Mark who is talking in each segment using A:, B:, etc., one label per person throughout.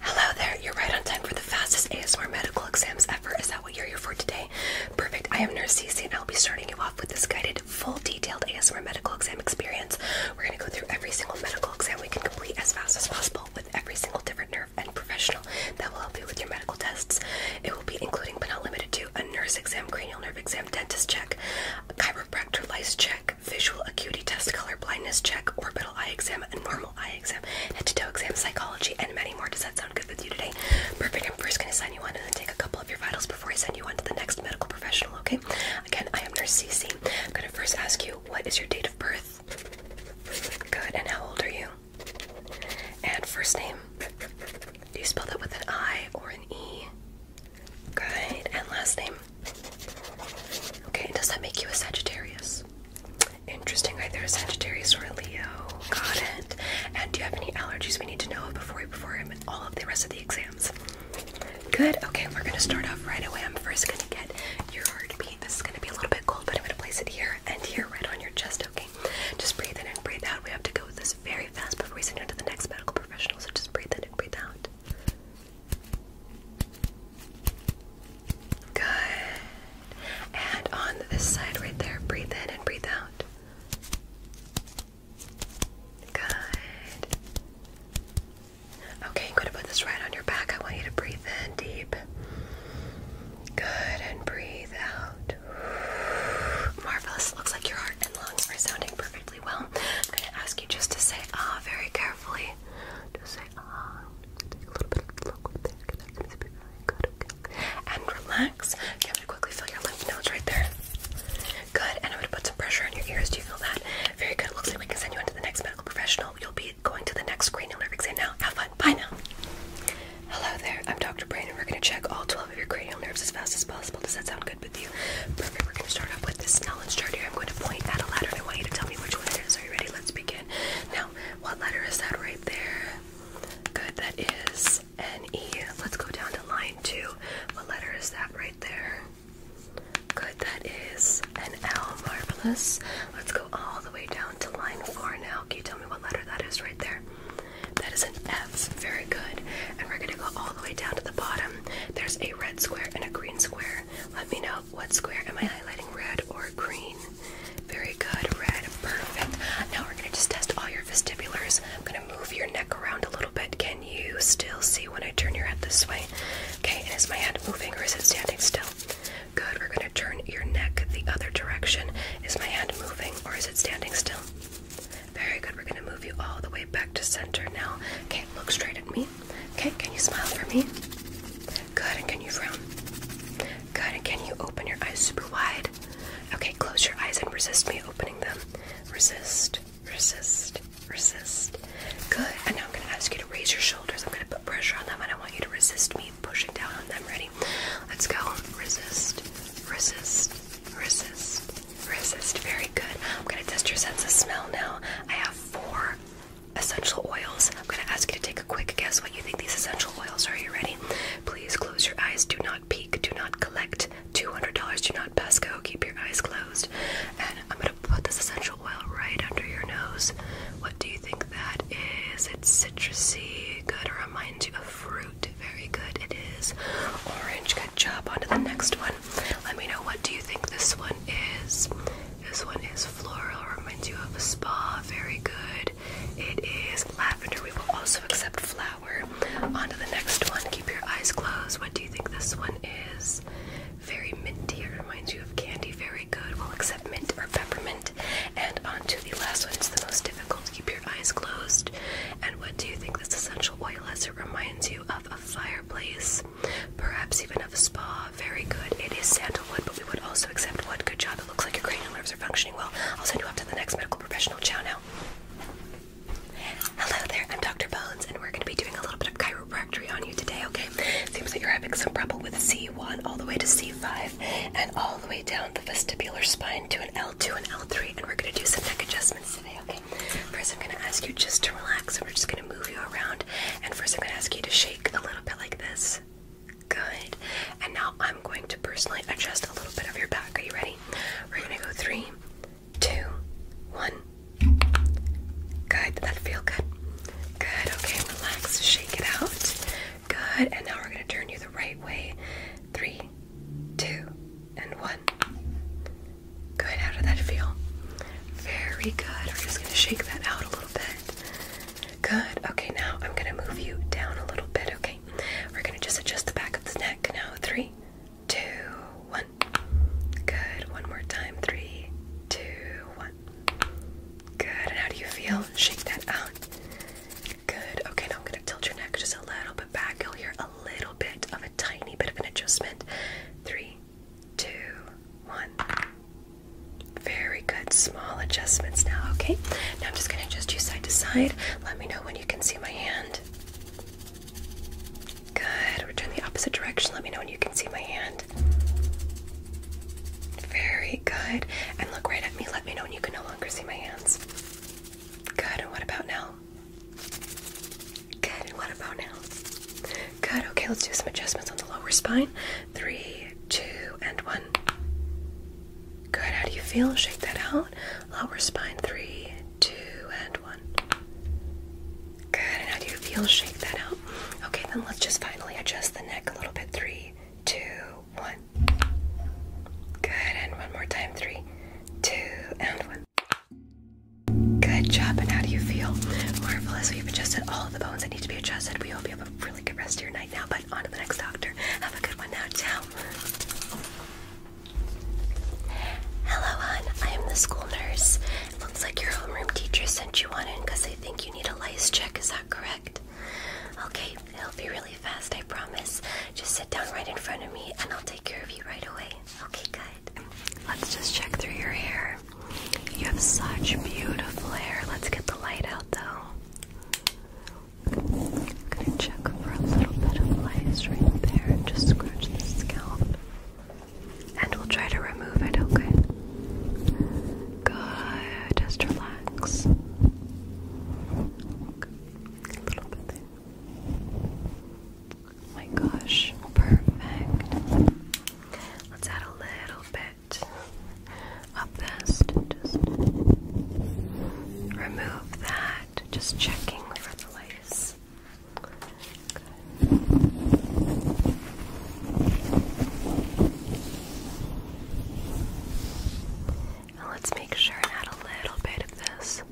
A: Hello there, you're right on time for the fastest ASMR medical exams ever. Is that what you're here for today? Perfect, I am Nurse CC, and I'll be starting you off with this guided, full detailed ASMR medical exam experience. We're going to go through every single medical exam we can complete as fast as possible with every single different nerve and professional that will help you with your medical tests. It will be including but not limited to a nurse exam, cranial nerve exam, dentist check, a chiropractor lice check, visual acuity test, color blindness check, orbital eye exam, and normal eye exam, head to toe exam, psychology, and many more. Does that sound good with you today? Perfect. I'm first going to sign you on and then take a couple of your vitals before I send you on to the next medical professional, okay? Again, I am Nurse Cece. I'm going to first ask you, what is your date of birth? Good. And how old are you? And first name? Do you spell that with an I or an E? Good. And last name? Okay, does that make you a Sagittarius? Interesting, either a Sagittarius or a Leo. Got it. And do you have any allergies we need to know before we perform all of the rest of the exams? Good. Okay, we're gonna start off right away. I'm first gonna get your heartbeat. This is gonna be a little bit cold, but I'm gonna place it here and here, right on your chest. Okay. Just breathe in and breathe out. We have to go with this very fast before we send you to the next medical professional. So just breathe in and breathe out. Good. And on this side right there, breathe in and breathe out. Good. Okay, I'm going to put this right on your back. I want you to breathe in deep. Good, and breathe out. Marvelous. Looks like your heart and lungs are sounding perfectly well. I'm going to ask you just to say ah very carefully. Just say and relax. Okay, I'm gonna quickly fill your lymph nodes right there. Good, and I'm gonna put some pressure on your ears. Do you feel that? Very good. It looks like we can send you into the next medical professional. You'll be going to the next cranial nerve exam now. Have fun. Bye now. Hello there, I'm Dr. Brain, and we're gonna check all 12 of your cranial nerves as fast as possible. Does that sound good with you? Perfect. We're gonna start off with this knowledge chart here. I'm going to point at a ladder and I want you to tell me which one it is. Are ready? Let's begin. Now, what letter is that right there? Good, that an E. N E. Let's go down to line two. What letter is that right there? Good, that is an L. Marvelous. Let's go all the way down to line four now. Can you tell me what letter that is right there? That is an F. Very good. And we're going to go all the way down to the bottom. There's a red square and a green square. Let me know what square am I highlighting? Red or green? Very good. Red. Perfect. Now we're going to just test all your vestibulars. I'm going to move your neck around a little bit. Can you still see when I turn your head this way? Okay, and is my hand moving or is it standing still? Good. We're going to turn your neck the other direction. Is my hand moving or is it standing still? Very good. We're going to move you all the way back to center now. Okay, look straight at me. Okay, can you smile for me? Good, and can you frown? Good, and can you open your eyes super wide? Okay, close your eyes and resist me opening them. Resist, resist, resist. Good, and now I'm gonna ask you to raise your shoulders. I'm gonna put pressure on them, and I want you to resist me pushing down on them. Ready? Let's go. Resist, resist, resist, resist. Very good. I'm gonna test your sense of smell now. I have four essential oils. I'm going to ask you to take a quick guess what you think these essential oils are. you ready? Please close your eyes. Do not peek. Do not collect. $200. Do not pass go. Keep your eyes closed. And I'm going to put this essential oil right under your nose. What do you think that is? It's citrusy. Good. It reminds you of fruit. Very good. It is orange. Good job. On to the next one. Let me know what do you think this one is. This one is floral, reminds you of a spa. Very good. It is lavender. We will also accept flower. On to the next one. Keep your eyes closed. What do you think this one is? Very minty. It reminds you of candy. Very good. We'll accept mint or peppermint. And on to the last one. It's the most difficult. Keep your eyes closed. And what do you think this essential oil is? It reminds you of a fireplace perhaps even of a spa. Very good. It is sandalwood, but we would also accept wood. Good job. It looks like your cranial nerves are functioning well. I'll send you up to the next medical professional. Ciao Hello there, I'm Dr. Bones, and we're going to be doing a little bit of chiropractic on you today, okay? Seems that you're having some trouble with C1 all the way to C5 and all the way down the vestibular spine to an L2 and L3, and we're going to do some neck adjustments today, okay? First, I'm going to ask you just to relax, and we're just going to move you around, and first, I'm going to ask you to shake a little bit like this. Good. And now I'm going to personally adjust a little bit of your back. Are you ready? We're gonna go three, two, one. Good. Did that feel good? Good. Okay, relax. Shake it out. Good. And now we're gonna turn you the right way. Three, two, and one. Good. How did that feel? Very good. We're just going to shake that out a little bit. Good. Okay, now I'm going to move you down a little bit, okay? We're going to just adjust the back of the neck now. Three, two, one. Good. One more time. Three, two, one. Good. And how do you feel? Shake that out. Good. Okay, now I'm going to tilt your neck just a little bit back. You'll hear a little bit of a tiny bit of an adjustment. Three, two, one. Very good. Small adjustments now, okay? Now I'm just going to adjust you side to side. Let me know when you can see my hand. Good. Return the opposite direction. Let me know when you can see my hand. Very good. And look right at me. Let me know when you can no longer see my hands. Good. And what about now? Good. And what about now? Good. Okay, let's do some adjustments on the lower spine. Three, two, and one. Good. How do you feel? Shake that out. Lower spine. Three, two, and one. Good. how do you feel? Shake that out. Okay, then let's just finally adjust the neck a little bit. Three, two, one. Good. And one more time. Three, two, and one. Good job, and how do you feel? Marvelous. We've adjusted all the bones that need to be adjusted. We hope you have a really good rest of your night now, but on to the next doctor. Have a good one now. Ciao. Hello, hon. I am the school nurse. It looks like your homeroom teacher sent you on in because they think you need a lice check. Is that correct? Okay, it'll be really fast, I promise. Just sit down right in front of me and I'll take care of you right away. Okay, good. Let's just check through your hair. You have such beautiful hair. Let's get the light out though. I'm gonna check for a little bit of lice right there and just scratch the scalp. And we'll try to remove it, okay? Good. Just relax. A little bit there. my gosh, perfect. Let's add a little bit of this just remove that. Just checking for the lace. let's make sure and add a little bit of this.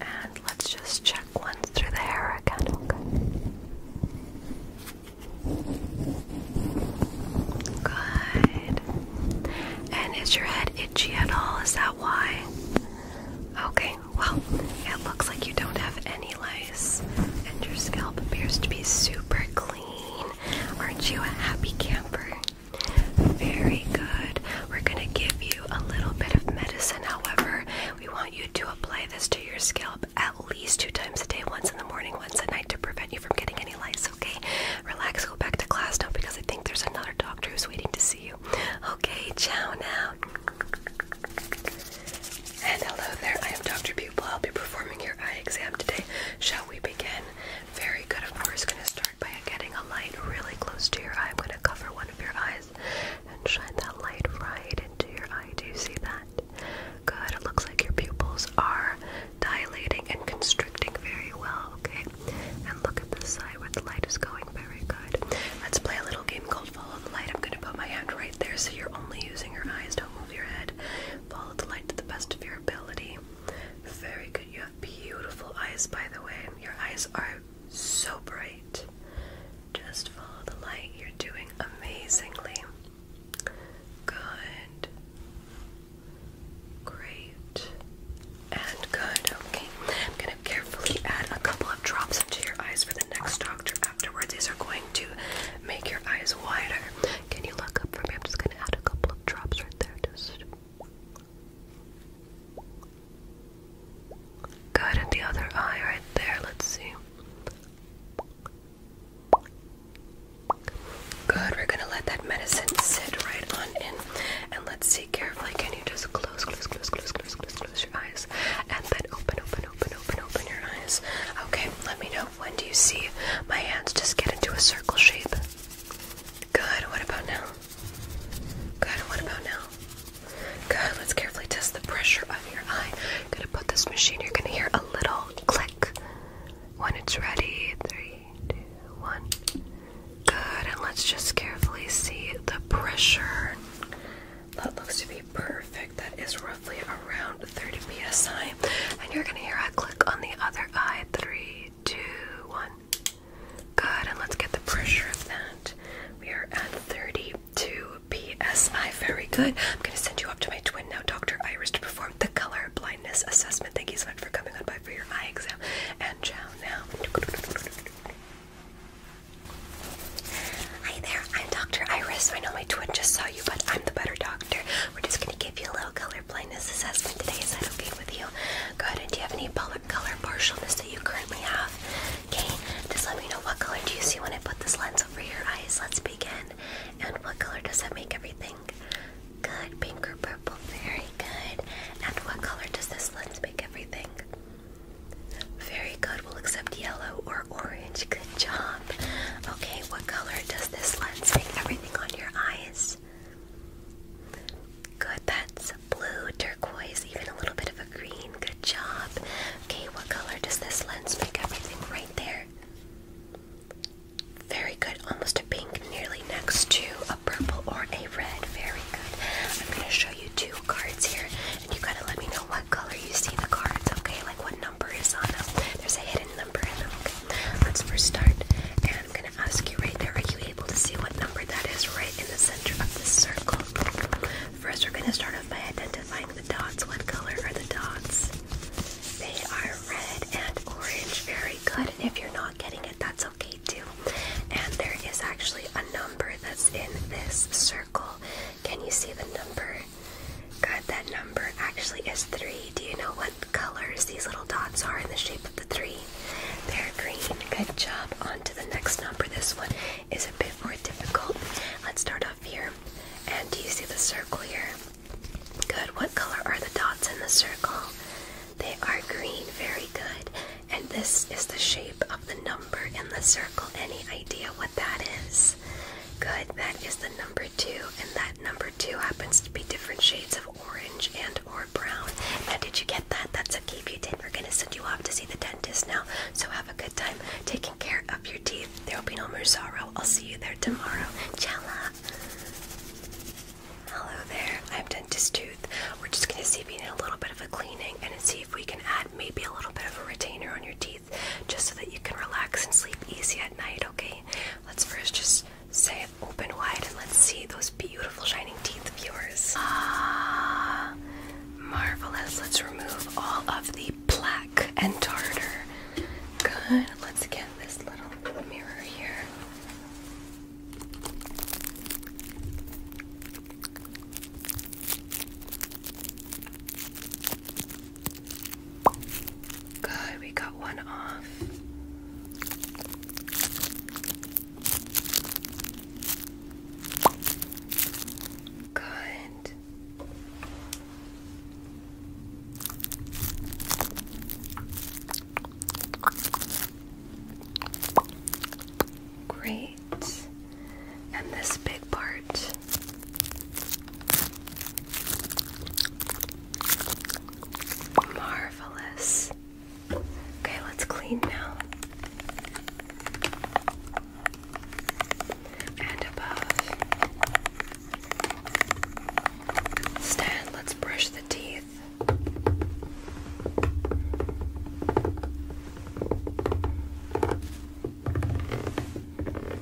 A: And let's just check once through the hair again, okay? Good. And is your head itchy at all? Is that why? Okay, well, it looks like you don't have any lice, and your scalp appears to be super clean. Aren't you a happy camper? Very good. We're going to give you a little bit of medicine, however. We want you to apply this to your scalp at least two times a day, once in the morning, once at night, to prevent you from getting any lice, okay? Relax, go back to class now because I think there's another doctor who's waiting to see you. Okay, Chow now. And hello there, I am Dr. Pupil. I'll be performing your eye exam today. Shall we begin? Very good. Of course, gonna start by getting a light really close to your eye. I'm gonna cover one of your eyes and shine that light right into your eye. Do you see that? Good. It looks like your pupils are dilating and constricting very well. Okay. And look at this side where the light is going. Very good. Let's play a little game called Follow the Light. I'm gonna put my hand right there so you're only using your eyes. Don't move your head. Follow the light to the best of your ability. Very good. You have beautiful eyes, by the way. Your eyes are so bright. Just follow the light. You're doing amazingly. Good. Great. And good. Okay. I'm going to carefully add a couple of drops into your eyes for the next doctor afterwards. These are going to make your eyes wider. Can you look up for me? I'm just gonna add a couple of drops right there. Just good in the other eye right there. Let's see. Good. We're gonna let that medicine sit right on in, and let's see carefully. Can you just close, close, close, close, close, close, close your eyes, and then open, open, open, open, open your eyes? Okay. Let me know when do you see my hands just get into a circle shape? Good, what about now? Good, what about now? Good, let's carefully test the pressure of your eye. I'm gonna put this machine, you're gonna hear a little click when it's ready. Three, two, one. Good, and let's just carefully see the pressure. That looks to be perfect. That is roughly around 30 psi, and you're gonna hear a click on the other eye. Three, two, one. Good, and let's get the pressure of that. We are at 32 psi. Very good. I'm going to send you up to my twin now, Dr. Iris, to perform the color blindness assessment. Thank you so much for coming on by for your eye exam. And ciao now. Hi there, I'm Dr. Iris. I know my twin just saw you, but I'm the better doctor. We're just going to give you a little color blindness assessment today. Is that okay with you? Good. do you have any color partialness that you currently have? Okay. Just let me know what color do you see when I put this lens over your eyes. Let's begin. And what color does that make everything? Good. Pink or purple? Very good. And what color does this lens make everything? Very good. We'll accept yellow or orange. Good job. Okay. What color does this lens make everything? on your eyes. Good, that's blue, turquoise, even a little bit of a green. Good job. Okay, what color does this lens make everything right there? Very good, almost a pink, nearly next to a purple or a red. Very good. I'm going to show you two cards here, and you got to let me know what color you see the cards, okay? Like what number is on them. There's a hidden number in them. Okay. Let's first start, and I'm gonna ask you right there. Are you able to see what number that is right in the center of the circle? First, we're gonna start off by identifying the dots. What color are the dots? They are red and orange. Very good. And if you're not getting it, that's okay too. And there is actually a number that's in this circle. Can you see the number? Good. that number actually is three. Do you know what colors these little dots are in the shape of the three. They're green. Good job. Onto the next number. This one is a bit more difficult. Let's start off here. And do you see the circle here? Good. What color are the dots in the circle? They are green. Very good. And this is the shape of the number in the circle. Any idea what that is? Good. That is the number two, and that number two happens to be different shades of orange and or brown. Now, did you get that? That's a if you did. We're gonna send you off to see the dentist now. So have a good time taking care of your teeth. There will be no more sorrow. I'll see you there tomorrow. Chella. Hello there. I'm Dentist Tooth. We're just gonna see if you need a little bit of a cleaning and see if we can add maybe a little bit of a retainer on your teeth just so that you can relax and sleep easy at night. Okay. Let's first just Say open wide and let's see those beautiful shining teeth of yours. Ah, marvelous. Let's remove all of the plaque and tartar. Good. Let's get this little mirror here. Good, we got one off. Good. Great. And this big part. Marvelous. Okay, let's clean now. And above. Stan, let's brush the teeth. Good, and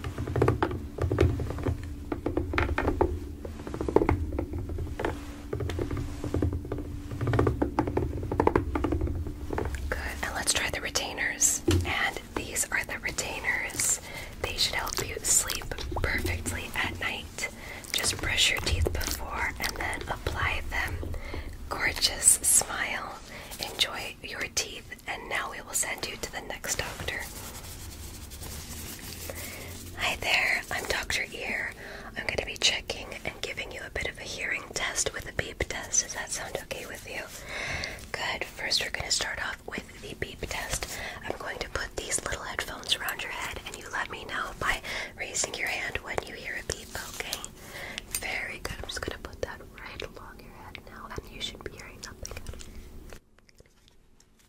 A: let's try the retainers. And these are the retainers. They should help you sleep perfectly at night. Just brush your teeth before and then apply them. Gorgeous smile. Enjoy your teeth, and now we will send you to the next doctor. Hi there, I'm Dr. Ear. I'm going to be checking and giving you a bit of a hearing test with a beep test. Does that sound okay with you? Good. First, we're going to start off with the beep test. I'm going to put these little headphones around your head, and you let me know by raising your hand when you hear a beep, okay? Very good. I'm just going to put that right along your head now, and you should be hearing nothing.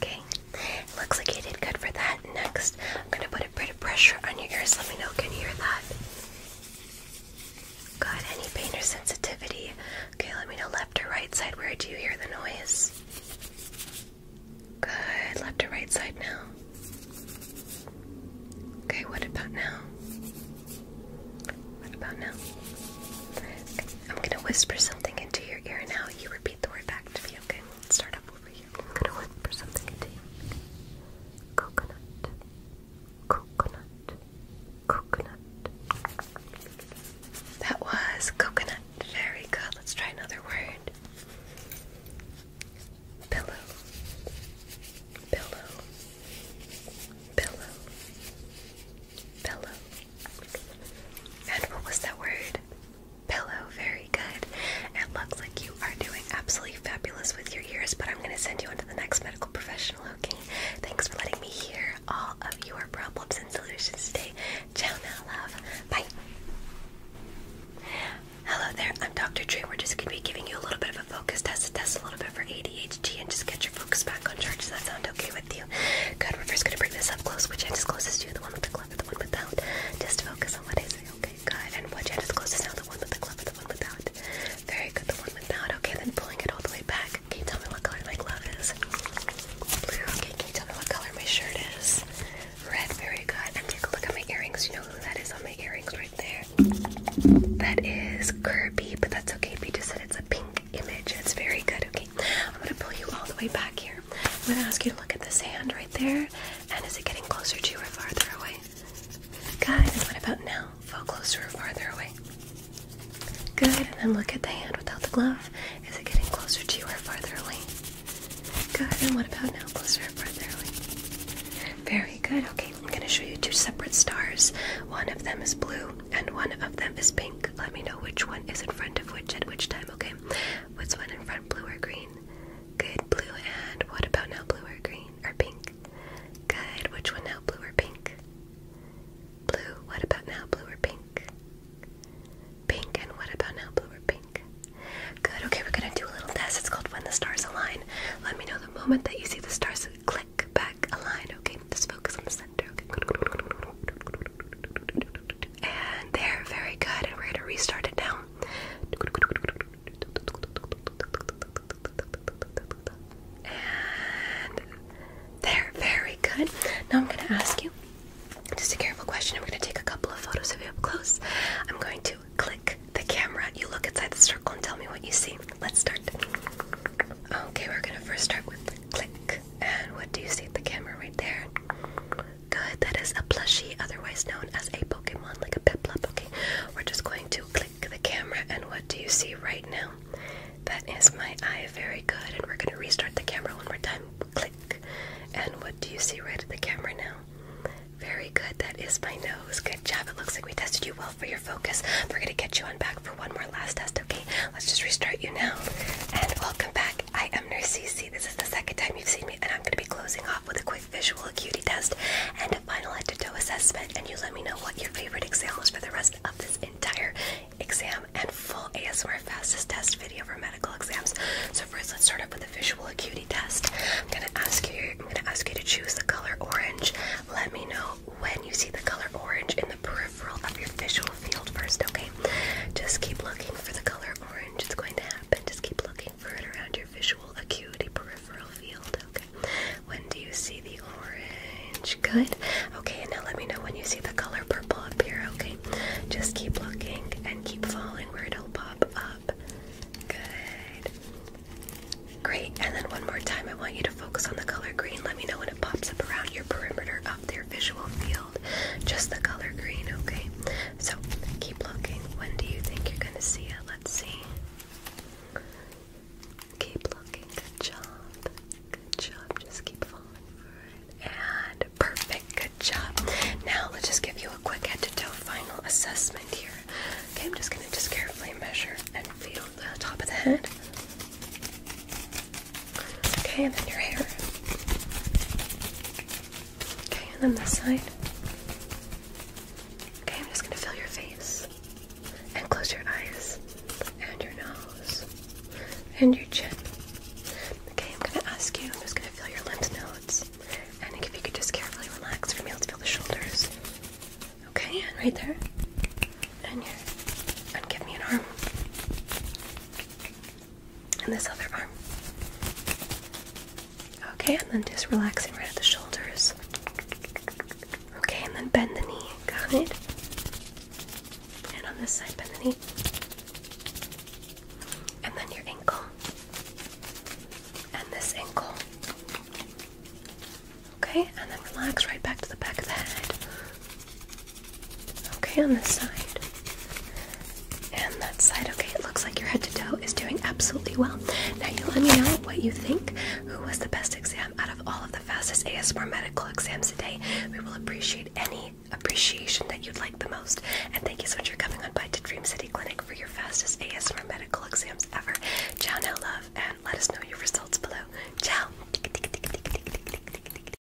A: Okay, looks like you did good for that. Next, I'm gonna put a bit of pressure on your ears. Let me know, can you hear that? Got any pain or sensitivity? Okay, let me know left or right side. Where do you hear the noise? Good, left or right side now. Okay, what about now? What about now? Okay, I'm gonna whisper something into your ear now. You repeat the word back to me, okay? Let's start up over here. I'm gonna look for something Coconut. Coconut. Coconut. That was coconut. Very good. Let's try another word. Pillow. Pillow. Pillow. Pillow. And what was that word? pillow. Very good. It looks like you are doing absolutely fabulous with your ears, but I'm going to send you on the next medical professional, okay? Thanks for letting me hear all of your problems and solutions today. Ciao now, love. Bye. Hello there, I'm Dr. Drew. We're just going to be giving you a little bit of a focus test to test a little bit for ADHD and just get your focus back on charge. Does that sound okay with you? Good, we're first going to bring this up close. Which end closest to The one with the the one without. Just focus on what I say, okay? Good. And what you is the one with the one without. Very good, the one without. Okay, then pulling it all the way back. Can you tell me what color my glove is? Blue. Okay, can you tell me what color my shirt is? Red. Very good. And look at my earrings. You know who that is on my earrings right there? That is Kirby, but that's okay. We just said it's a pink image. It's very good, okay? I'm gonna pull you all the way back here. I'm gonna ask you to look at this hand right there. And is it getting closer to you or farther away? Good, and what about now? Fall closer or farther away? Good, and then look at the hand without the glove. Is it getting closer to you or farther away? Good, and what about now? Closer or farther away? Very good. Okay, I'm gonna show you two separate stars. One of them is blue and one of them is pink. Let me know which one is in front of which at which time, okay? What's one in front, blue or green? Good, blue and what about now, blue or green? Or pink? Good, which one now, blue or pink? Blue, what about now, blue or pink? Pink, and what about now, blue or pink? Good, okay, we're gonna do a little test. It's called When the Stars Align. Let me know the moment that you see the stars click back align, okay? Just focus on the center, okay? And they're very good. And we're going to restart it now. And there, very good. Now I'm going to ask you just a careful question. I'm going to take a couple of photos of you up close. I'm going to click the camera. and You look inside the circle and tell me what you see. Let's start. Okay, we're going to first start with click, and what do you see at the camera right there? Good, that is a plushie, otherwise known as a Pokemon, like a Piplup. Okay, we're just going to click the camera, and what do you see right now? That is my eye, very good. And we're going to restart the camera one more time. Click, and what do you see right at the camera now? Very good, that is my nose. Good job, it looks like we tested you well for your focus. We're going to get you on back for one more last test, okay? Let's just restart you now. And welcome back. I am Nurse CC. This is the second time you've seen me, and I'm going to be closing off with a quick visual acuity test and a final head to toe assessment. And you let me know what your favorite exam is for the rest of this entire exam and full ASMR fastest test video for medical exams. So first, let's start off with a visual acuity test. I'm going to ask you. I'm going to ask you to choose the color orange. Let me know when you see the color orange in the proof peripheral of your visual field first, okay? Just keep looking for the color orange. It's going to happen. Just keep looking for it around your visual acuity peripheral field, okay? When do you see the orange? Good. Okay, now let me know when you see the color purple up here, okay? Just keep looking and keep following where it'll pop up. Good. Great. And then one more time, I want you to focus on the color green. Let me know when it pops up around your perimeter of your visual field just the color green, okay? So keep looking. When do you think you're gonna see it? Let's see. Keep looking. Good job. Good job. Just keep falling for it. And perfect. Good job. Now let's just give you a quick head to toe final assessment here. Okay, I'm just gonna just carefully measure and feel the top of the head. Okay, and then your hair. Okay, and then this side. Okay, I'm just gonna feel your face. And close your eyes. And your nose. And your chin. Okay, I'm gonna ask you, I'm just gonna feel your lymph nodes. And if you could just carefully relax for me, let's feel the shoulders. Okay, and right there. And here. And give me an arm and this other arm. Okay, and then just relaxing right at the shoulders. Okay, and then bend the knee. Got it? And on this side, bend the knee. And then your ankle. And this ankle. Okay, and then relax right back to the back of the head. Okay, on this side. And that side. Okay, it looks like your head to toe is doing absolutely well. Now, you let me know what you think. Who was the best exam out of all of the fastest ASMR medical exams today? We will appreciate any appreciation that you'd like the most. And thank you so much for coming on by to Dream City Clinic for your fastest ASMR medical exams ever. Ciao now, love, and let us know your results below. Ciao.